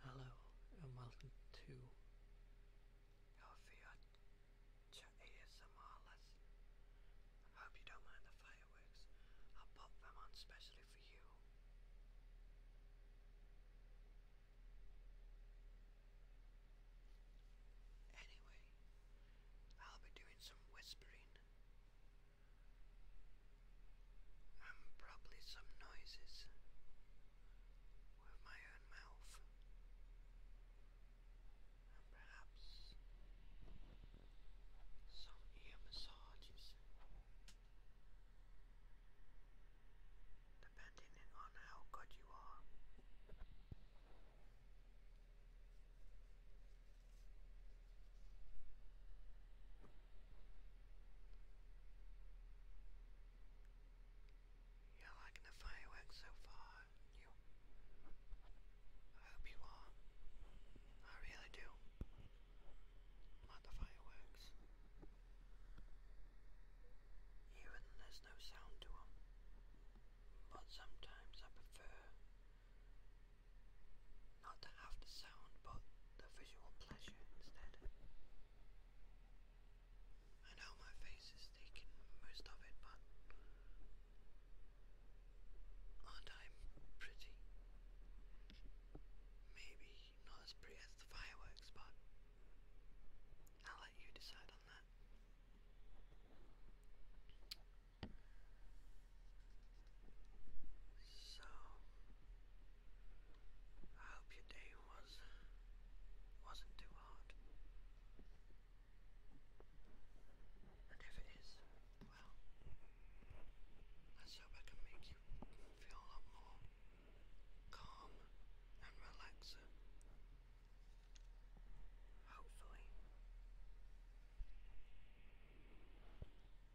Hello and welcome to Alfia to ASMR I hope you don't mind the fireworks. I'll pop them on specially for you. Anyway, I'll be doing some whispering and probably some noises with my own mouth, and perhaps some ear massages, depending on how good you are. You're liking the fireworks so far, you? I hope you are. I really do. Not the fireworks. Even there's no sound to them. But sometimes I prefer not to have the sound but the visual pleasure instead. I know my face is taking most of it, but aren't I pretty? Maybe not as pretty as the fireworks, but I'll let you decide on that. So, I hope your day was wasn't too hard. And if it is, well, let hope I can make you feel a lot more calm and relaxing. Hopefully.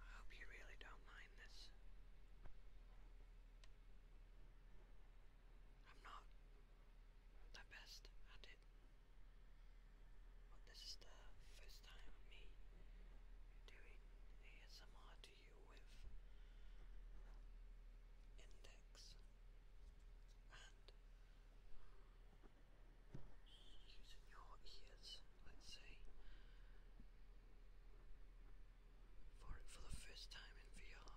I hope you really don't mind this. I'm not the best at it, but this is the first time me doing ASMR to you with index and using your ears, let's say, for for the first time in VR.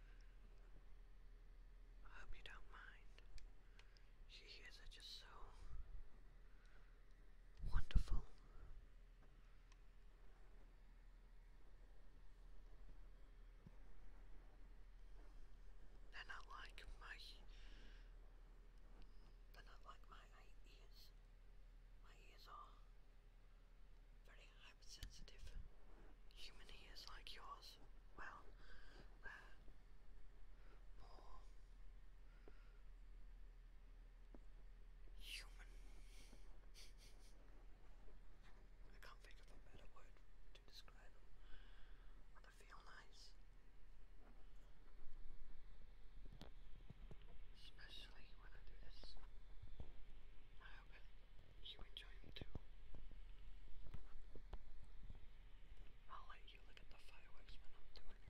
I hope you don't mind. She hears it just so wonderful. They're not like my they're not like my ears. My ears are very hypersensitive human ears like yours, well, they're more human. I can't think of a better word to describe them. But they feel nice. Especially when I do this. I hope you enjoy them too. I'll let you look at the fireworks when I'm doing it.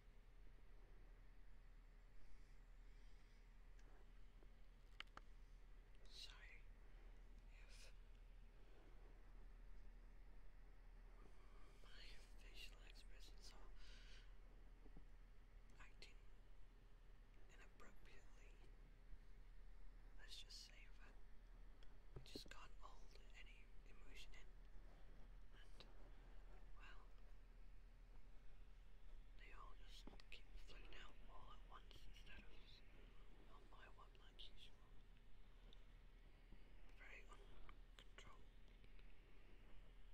So, if my facial expressions are acting inappropriately, let's just say that we just can't any emotion And, well, they all just keep floating out all at once instead of one by one like usual. Very uncontrolled.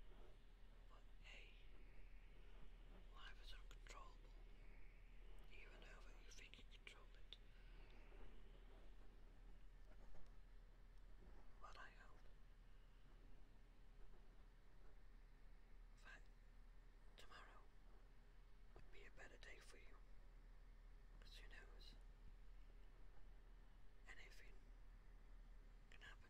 But hey, life is uncontrollable, even though you think you control it. But I hope that tomorrow would be a better day for you. who knows? Anything can happen.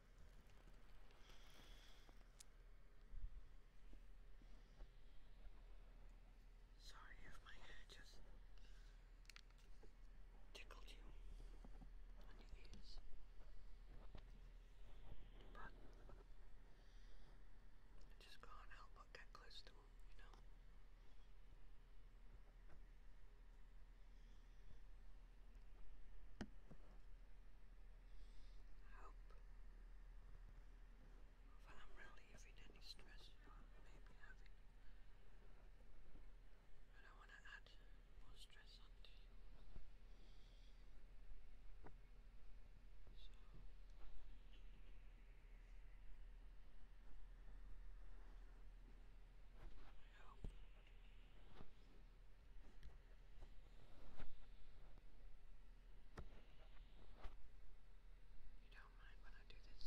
Sorry if my hair just tickled you on your ears. But I just can't help get close to them, you know. I hope if I'm relieving any stress you may having. I don't want to add more stress onto you. I hope you don't mind when I do this.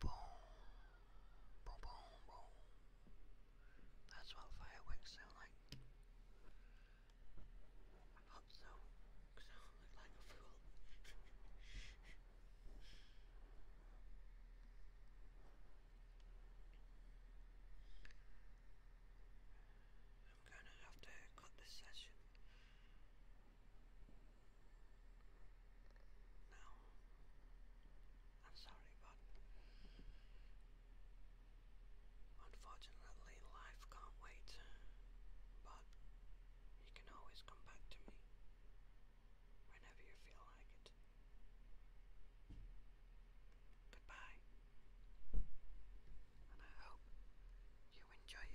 Boom, boom, boom, boom. That's what fireworks sound like. I hope so, because I don't look like a fool. I'm gonna have to cut this session now. I'm sorry, but unfortunately, life can't wait. But you can always come back to me whenever you feel like it. Goodbye, and I hope you enjoy it.